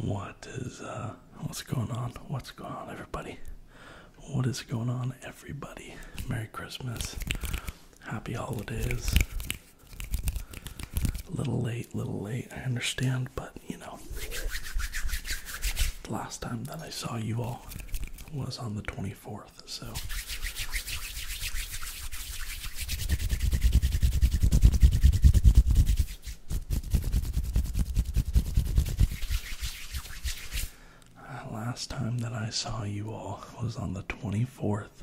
What is uh what's going on? What's going on everybody? What is going on, everybody? Merry Christmas. Happy holidays. A little late, little late, I understand, but you know, the last time that I saw you all was on the 24th, so. Uh, last time that I saw you all was on the 24th,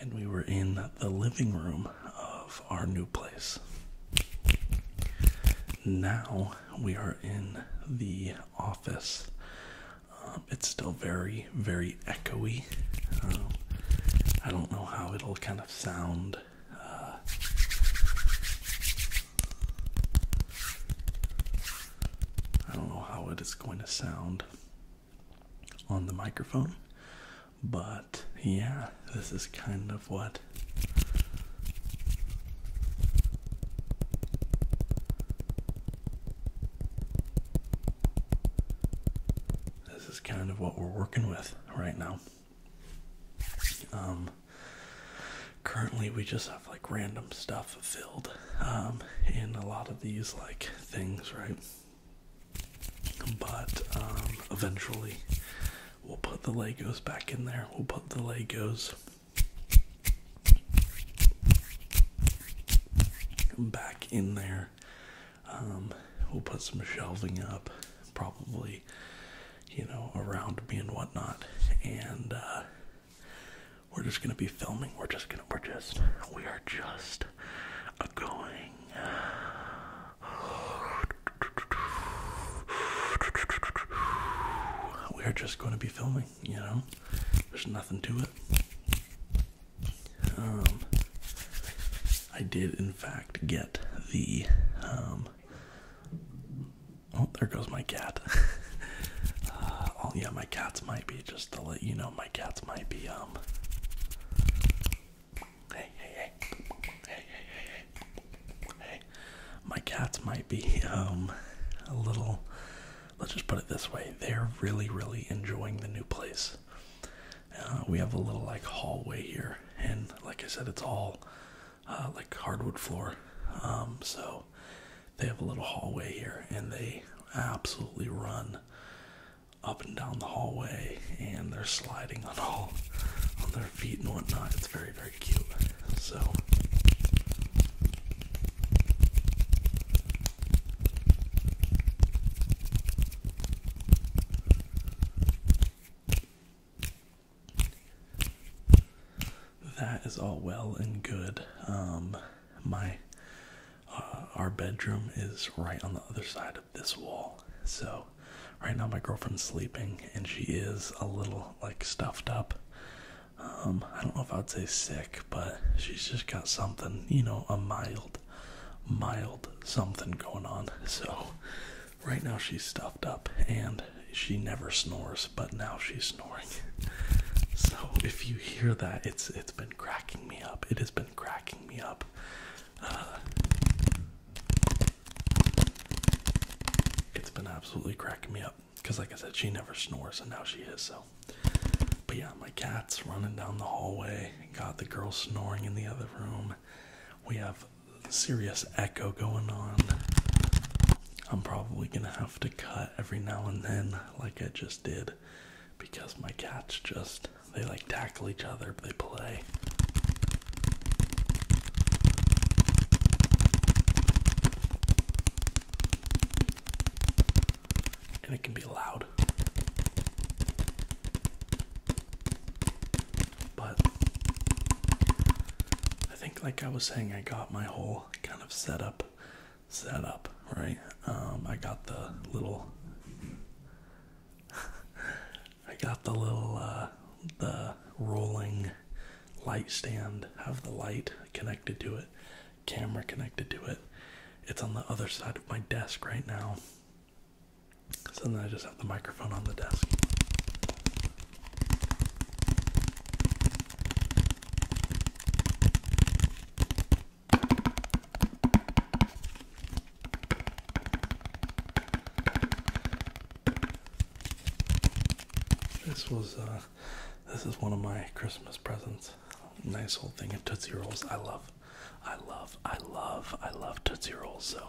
and we were in the living room of our new place. Now we are in the office. Uh, it's still very, very echoey. Uh, I don't know how it'll kind of sound I don't know how it is going to sound on the microphone, but yeah, this is kind of what this is kind of what we're working with right now. Um, currently we just have like random stuff filled um, in a lot of these like things, right? But um, eventually we'll put the Legos back in there. We'll put the Legos back in there. Um, we'll put some shelving up, probably you know, around me and whatnot. And uh, we're just gonna be filming. We're just gonna. We're just. We are just going. We are just going to be filming. You know, there's nothing to it. Um, I did in fact get the um Oh, there goes my cat. Uh, oh yeah, my cats might be just to let you know. My cats might be um, Hey hey hey hey hey hey hey. My cats might be um a little. Let's just put it this way: they're really really enjoying the new place. Uh, we have a little like hallway here, and like I said, it's all uh, like hardwood floor. Um, so they have a little hallway here, and they absolutely run up and down the hallway, and they're sliding on all on their feet and whatnot. It's very very cute. So. That is all well and good. Um, my uh, our bedroom is right on the other side of this wall, so right now my girlfriend's sleeping and she is a little like stuffed up. Um, I don't know if I'd say sick, but she's just got something, you know, a mild, mild something going on. So Right now she's stuffed up and she never snores, but now she's snoring. so if you hear that, it's it's been cracking me up. It has been cracking me up. Uh, it's been absolutely cracking me up because, like I said, she never snores, and now she is so. But yeah, my cat's running down the hallway. Got the girl snoring in the other room. We have serious echo going on. I'm probably gonna have to cut every now and then, like I just did, because my cats just they like tackle each other, they play. And it can be loud. But I think, like I was saying, I got my whole kind of setup set up, right? Um, I got the little, I got the little, uh, the rolling light stand, have the light connected to it, camera connected to it. It's on the other side of my desk right now. So then I just have the microphone on the desk. This was uh, this is one of my Christmas presents. Nice old thing of Tootsie Rolls. I love I love I love I love Tootsie Rolls so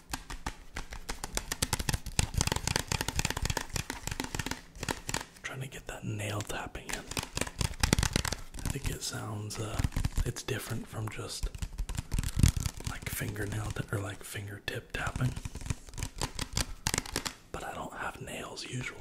Trying to get that nail tapping in. I think it sounds uh, it's different from just like fingernail or like fingertip tapping. But I don't have nails usually.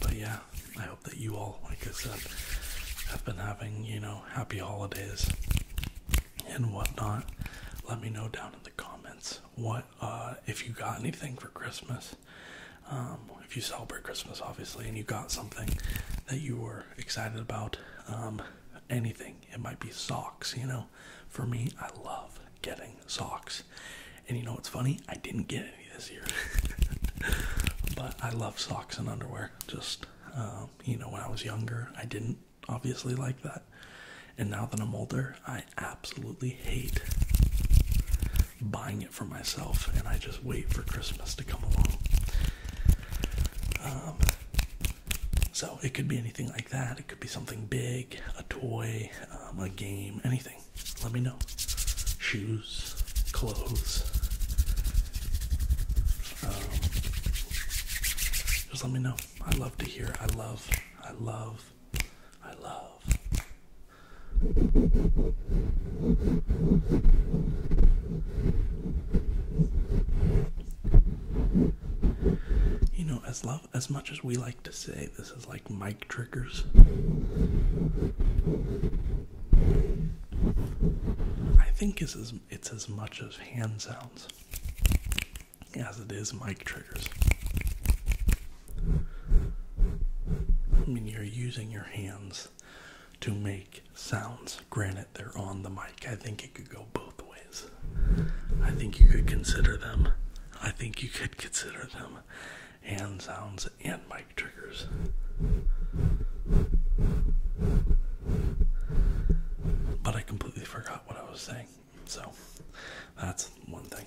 But yeah, I hope that you all, like I said, have been having, you know, happy holidays and whatnot. Let me know down in the comments what, uh, if you got anything for Christmas. Um, if you celebrate Christmas, obviously, and you got something that you were excited about, um, anything. It might be socks, you know. For me, I love getting socks. And you know what's funny? I didn't get any this year. but I love socks and underwear. Just um, you know, when I was younger, I didn't obviously like that. And now that I'm older, I absolutely hate buying it for myself and I just wait for Christmas to come along. Um, so it could be anything like that. It could be something big, a toy, um, a game, anything. Let me know. Shoes, clothes. Um, just let me know. I love to hear. I love, I love, I love. You know, as as much as we like to say this is like mic triggers. I think it's as, it's as much as hand sounds as it is mic triggers. I mean, you're using your hands to make sounds. Granted, they're on the mic. I think it could go both ways. I think you could consider them. I think you could consider them hand sounds and mic triggers. But I completely forgot what I was saying, so that's one thing.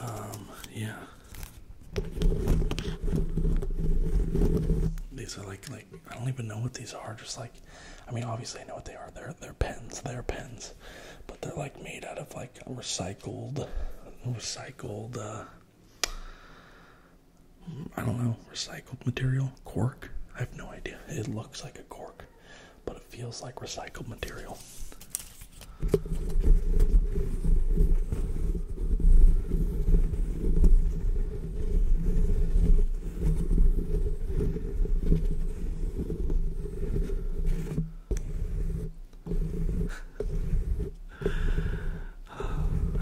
Um, yeah. These are like like I don't even know what these are. Just like, I mean, obviously I know what they are. They're they're pens. They're pens, but they're like made out of like recycled, recycled. Uh, I don't know, recycled material, cork. I have no idea. It looks like a cork but it feels like recycled material.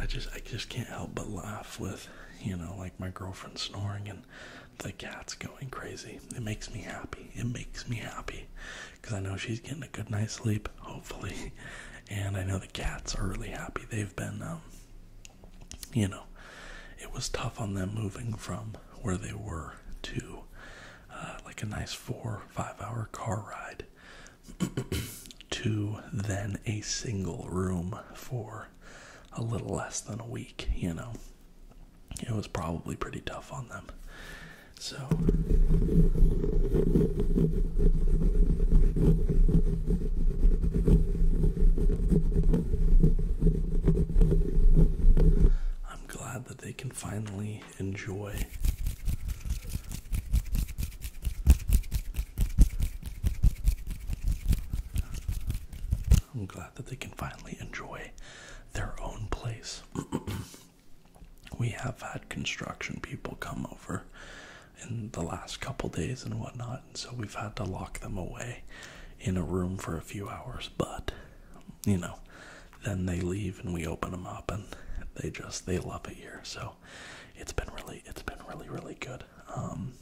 I just I just can't help but laugh with you know like my girlfriend snoring and the cat's going crazy. It makes me happy. It makes me happy because I know she's getting a good night's sleep, hopefully. And I know the cats are really happy. They've been, um, you know, it was tough on them moving from where they were to uh, like a nice four, five hour car ride to then a single room for a little less than a week, you know. It was probably pretty tough on them. So I'm glad that they can finally enjoy I'm glad that they can finally enjoy their own place. we have had construction people come over in the last couple days and whatnot, and so we've had to lock them away in a room for a few hours, but you know, then they leave and we open them up and they just they love it here. So it's been really it's been really really good. Um,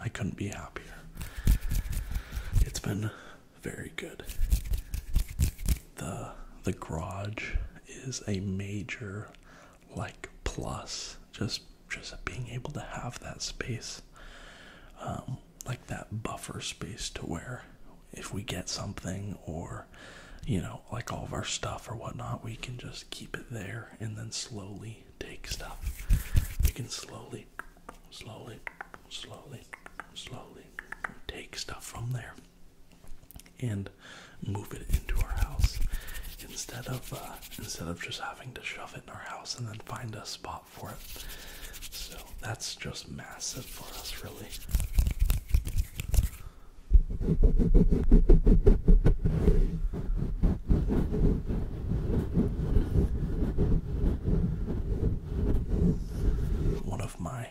I couldn't be happier. It's been very good. The the garage is a major like plus just just being able to have that space um, like that buffer space to where if we get something or you know like all of our stuff or whatnot we can just keep it there and then slowly take stuff. We can slowly, slowly, slowly, slowly take stuff from there and move it into our house instead of uh, instead of just having to shove it in our house and then find a spot for it. So that's just massive for us, really. One of my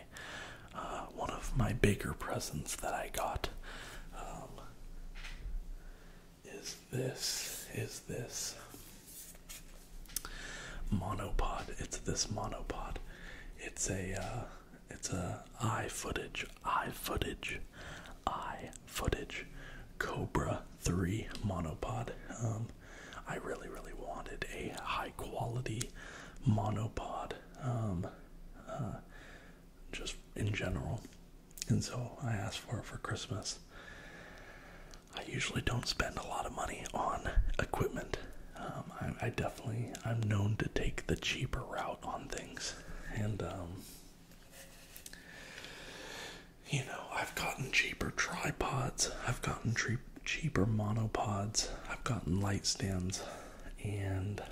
uh, one of my bigger presents that I got um, is this is this monopod. It's this monopod. It's a uh, it's a eye footage, eye footage, eye footage Cobra 3 monopod. Um, I really, really wanted a high quality monopod um, uh, just in general. And so I asked for it for Christmas. I usually don't spend a lot of money on equipment. Um, I, definitely, I'm known to take the cheaper route on things. And you know, I've gotten cheaper tripods, I've gotten cheaper monopods, I've gotten light stands, and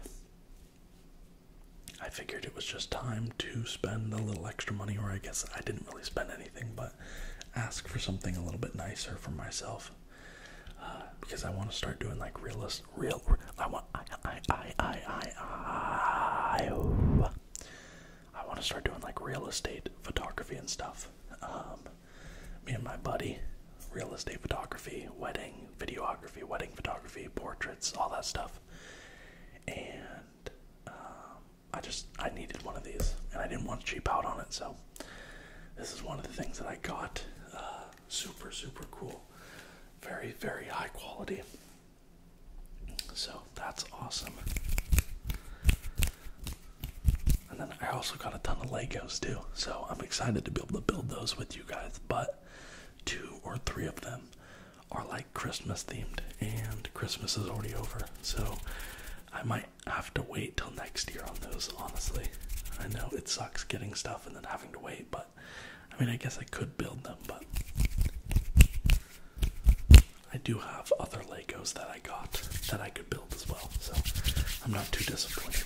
I figured it was just time to spend a little extra money, or I guess I didn't really spend anything, but ask for something a little bit nicer for myself. Uh, because I want to start doing like realist real. I want. I. I. I. I. I. I, I, want to start doing like real estate photography and stuff. Um, me and my buddy, real estate photography, wedding videography, wedding photography, portraits, all that stuff. And um, I just I needed one of these, and I didn't want to cheap out on it, so this is one of the things that I got. Uh, super super cool, very very high quality. So that's awesome. And then I also got a ton of Legos too. So I'm excited to be able to build those with you guys. But two or three of them are like Christmas themed, and Christmas is already over. So I might have to wait till next year on those, honestly. I know it sucks getting stuff and then having to wait, but. I mean, I guess I could build them, but I do have other Legos that I got that I could build as well, so I'm not too disappointed.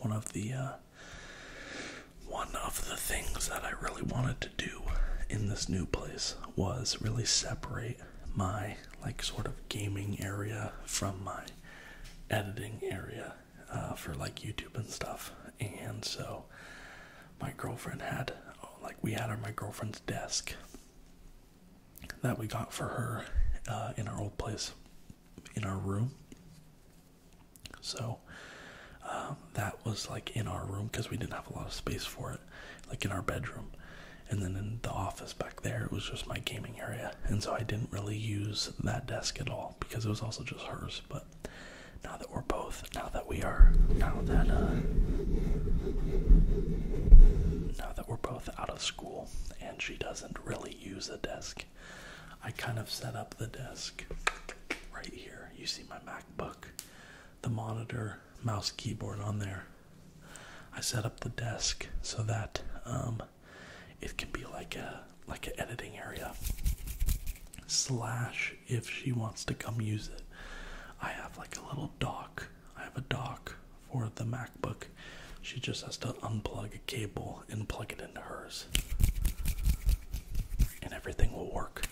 One of the uh, one of the things that I really wanted to do in this new place was really separate my like sort of gaming area from my editing area uh, for like YouTube and stuff, and so my girlfriend had like we had on my girlfriend's desk that we got for her uh, in our old place in our room so um, that was like in our room because we didn't have a lot of space for it like in our bedroom and then in the office back there it was just my gaming area and so i didn't really use that desk at all because it was also just hers but now that we're both, now that we are, now that, uh, now that we're both out of school and she doesn't really use a desk, I kind of set up the desk right here. You see my MacBook, the monitor, mouse, keyboard on there. I set up the desk so that um, it can be like a like an editing area slash if she wants to come use it. I have like a little dock. I have a dock for the MacBook. She just has to unplug a cable and plug it into hers. And everything will work.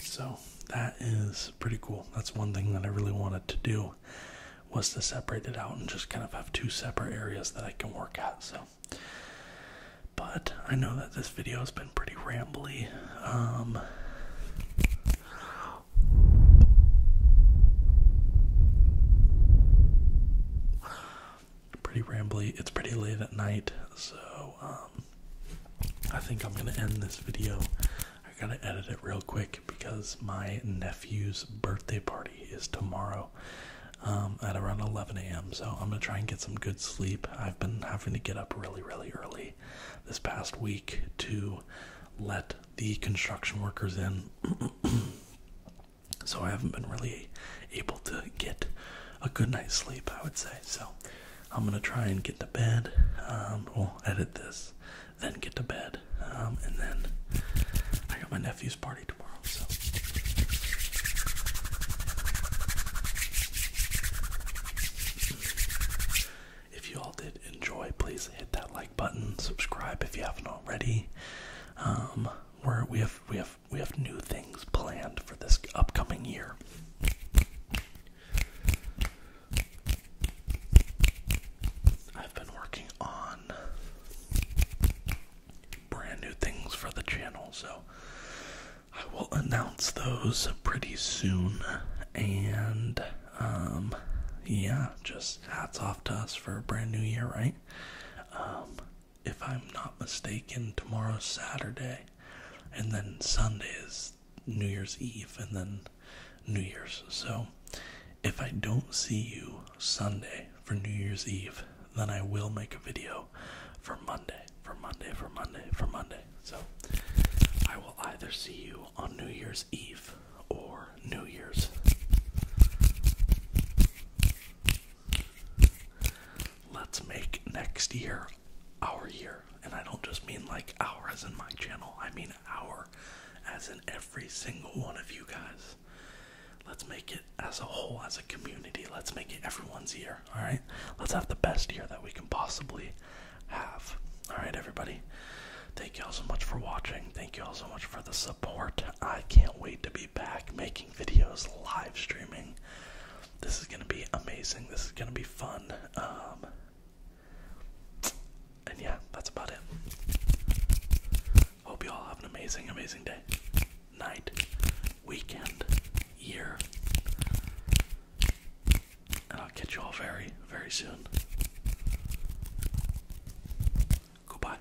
So that is pretty cool. That's one thing that I really wanted to do was to separate it out and just kind of have two separate areas that I can work at. So, but I know that this video has been pretty rambly. Um. pretty rambly. It's pretty late at night, so um, I think I'm gonna end this video. I gotta edit it real quick because my nephew's birthday party is tomorrow um, at around 11 a.m. So I'm gonna try and get some good sleep. I've been having to get up really, really early this past week to let the construction workers in. so I haven't been really able to get a good night's sleep, I would say. So I'm gonna try and get to bed. Um, we'll edit this then get to bed. Um, and then I got my nephew's party tomorrow, so. If you all did enjoy, please hit that like button, subscribe if you haven't already. Um, we have we have we have new things planned for this upcoming year. I've been working on brand new things for the channel, so I will announce those pretty soon. And, um, yeah, just hats off to us for a brand new year, right? Um, if I'm not mistaken, tomorrow's Saturday, and then Sundays. New Year's Eve and then New Year's. So if I don't see you Sunday for New Year's Eve, then I will make a video for Monday, for Monday, for Monday, for Monday. So I will either see you on New Year's Eve or New Year's. Let's make next year our year and I don't just mean like hour as in my channel, I mean hour as in every single one of you guys. Let's make it as a whole, as a community. Let's make it everyone's year, alright? Let's have the best year that we can possibly have. Alright, everybody? Thank you all so much for watching. Thank you all so much for the support. I can't wait to be back making videos, live streaming. This is going to be amazing. This is going to be fun. Um, and yeah, that's about it. Hope you all have an amazing, amazing day, night, weekend, year. And I'll catch you all very, very soon. Goodbye.